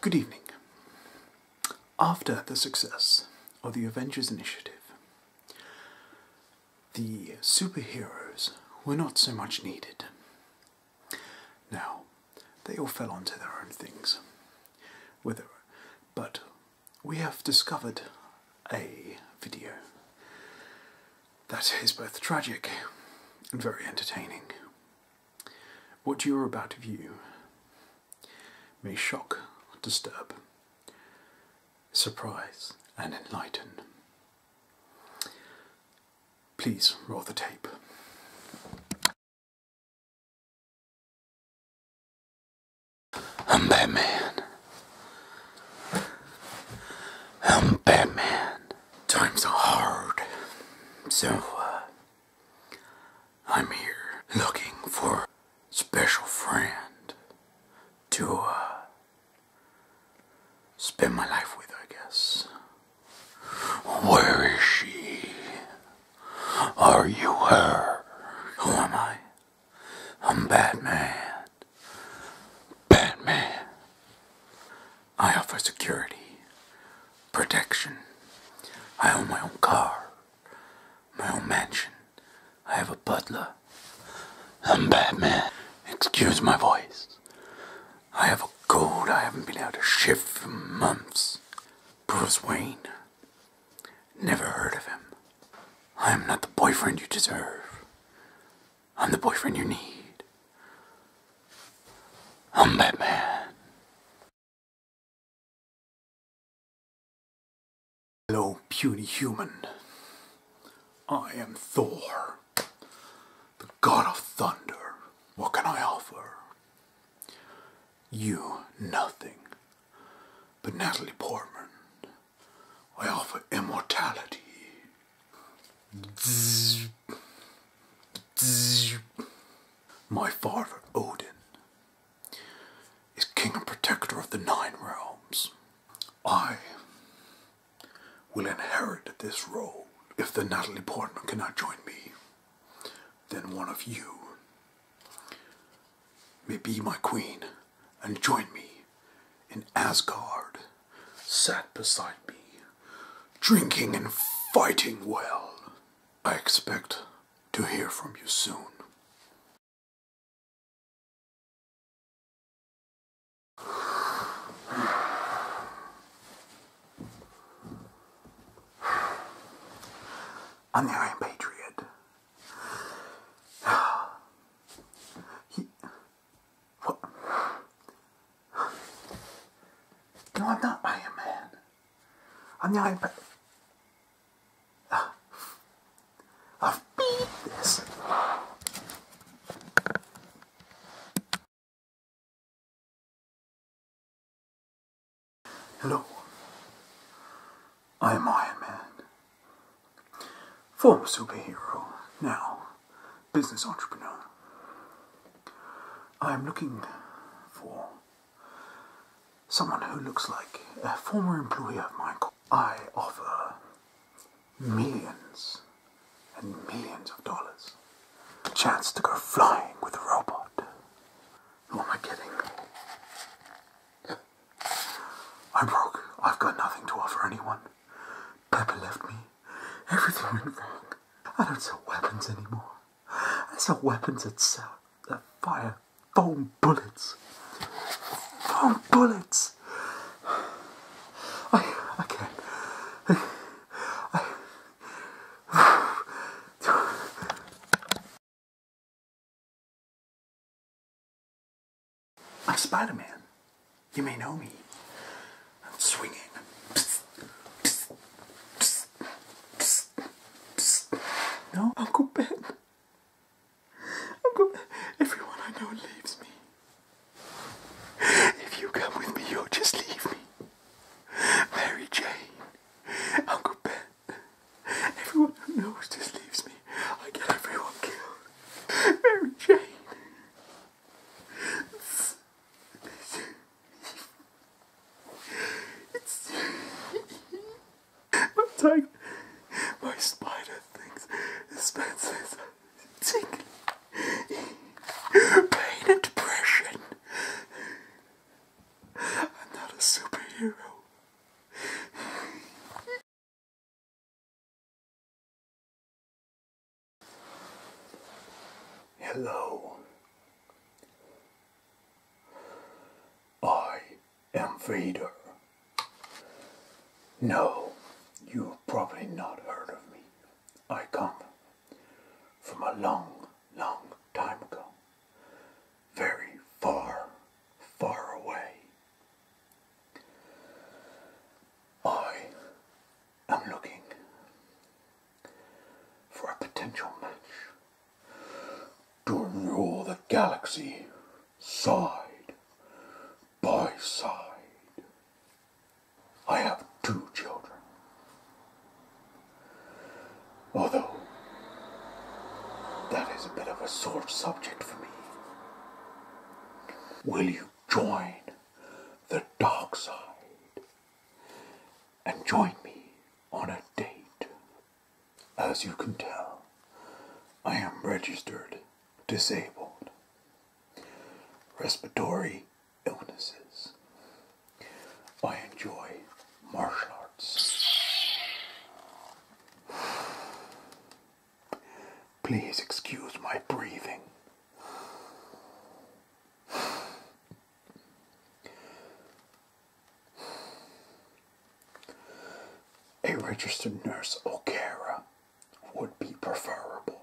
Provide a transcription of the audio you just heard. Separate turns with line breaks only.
Good evening. After the success of the Avengers Initiative, the superheroes were not so much needed. Now, they all fell onto their own things. With But we have discovered a video that is both tragic and very entertaining. What you are about to view may shock, disturb, surprise, and
enlighten. Please roll the tape.
I'm Batman. I'm Batman. Times are hard, so uh, I'm here looking for a special friend to uh, spend my life with, I guess. Where is she? Are you her? Who am I? I'm Batman. Batman. I offer security, protection. I own my own car, my own mansion. I have a butler. I'm Batman. Excuse my voice. I have a cold. I haven't been able to shift for months. Bruce Wayne. Never heard of him. I am not the boyfriend you deserve.
I'm the boyfriend you need. I'm Batman. Hello, puny human. I am Thor,
the god of thunder. What can I offer? You nothing, but Natalie Portman. I offer immortality. Zzz. My father, Odin, is king and protector of the Nine Realms. I will inherit this role. If the Natalie Portman cannot join me, then one of you may be my queen and join me in Asgard sat beside me,
drinking and fighting well. I expect to hear from you soon.
I'm the Patriot. He, no, I'm not Iron Man. I'm the Iron Man.
I've beat this. Hello. I am Iron Man. Former superhero, now
business entrepreneur. I am looking for someone who looks like a former employee of mine. I offer millions and millions of dollars. A chance to go flying with a robot. Who am I kidding? I'm broke. I've got nothing to offer anyone. Pepper left me. Everything went wrong. I don't sell weapons anymore. I sell weapons itself. that fire foam bullets. Foam bullets. I I can't.
I'm Spider Man. You may know me. I'm swinging.
no, Uncle Ben. Uncle Ben. Everyone I know leaves me. If you come with me, you'll just leave me. Mary Jane. Uncle Ben. Everyone who knows just leaves me. I get everyone killed.
Mary Jane. It's,
it's, it's, I'm tired. My spider things, expenses, Spencer's Pain and depression.
I'm not a superhero. Hello.
I am Vader. No, you've probably not heard of me. I come from a long, long time ago. Very far, far away. I am looking for a potential match to rule the galaxy side by side. I have two children. Although that is a bit of a sore subject for me. Will you join the dark side and join me on a date? As you can tell, I am registered disabled. Respiratory illnesses. I enjoy martial arts. Please excuse my breathing. A
registered nurse or carer would be preferable.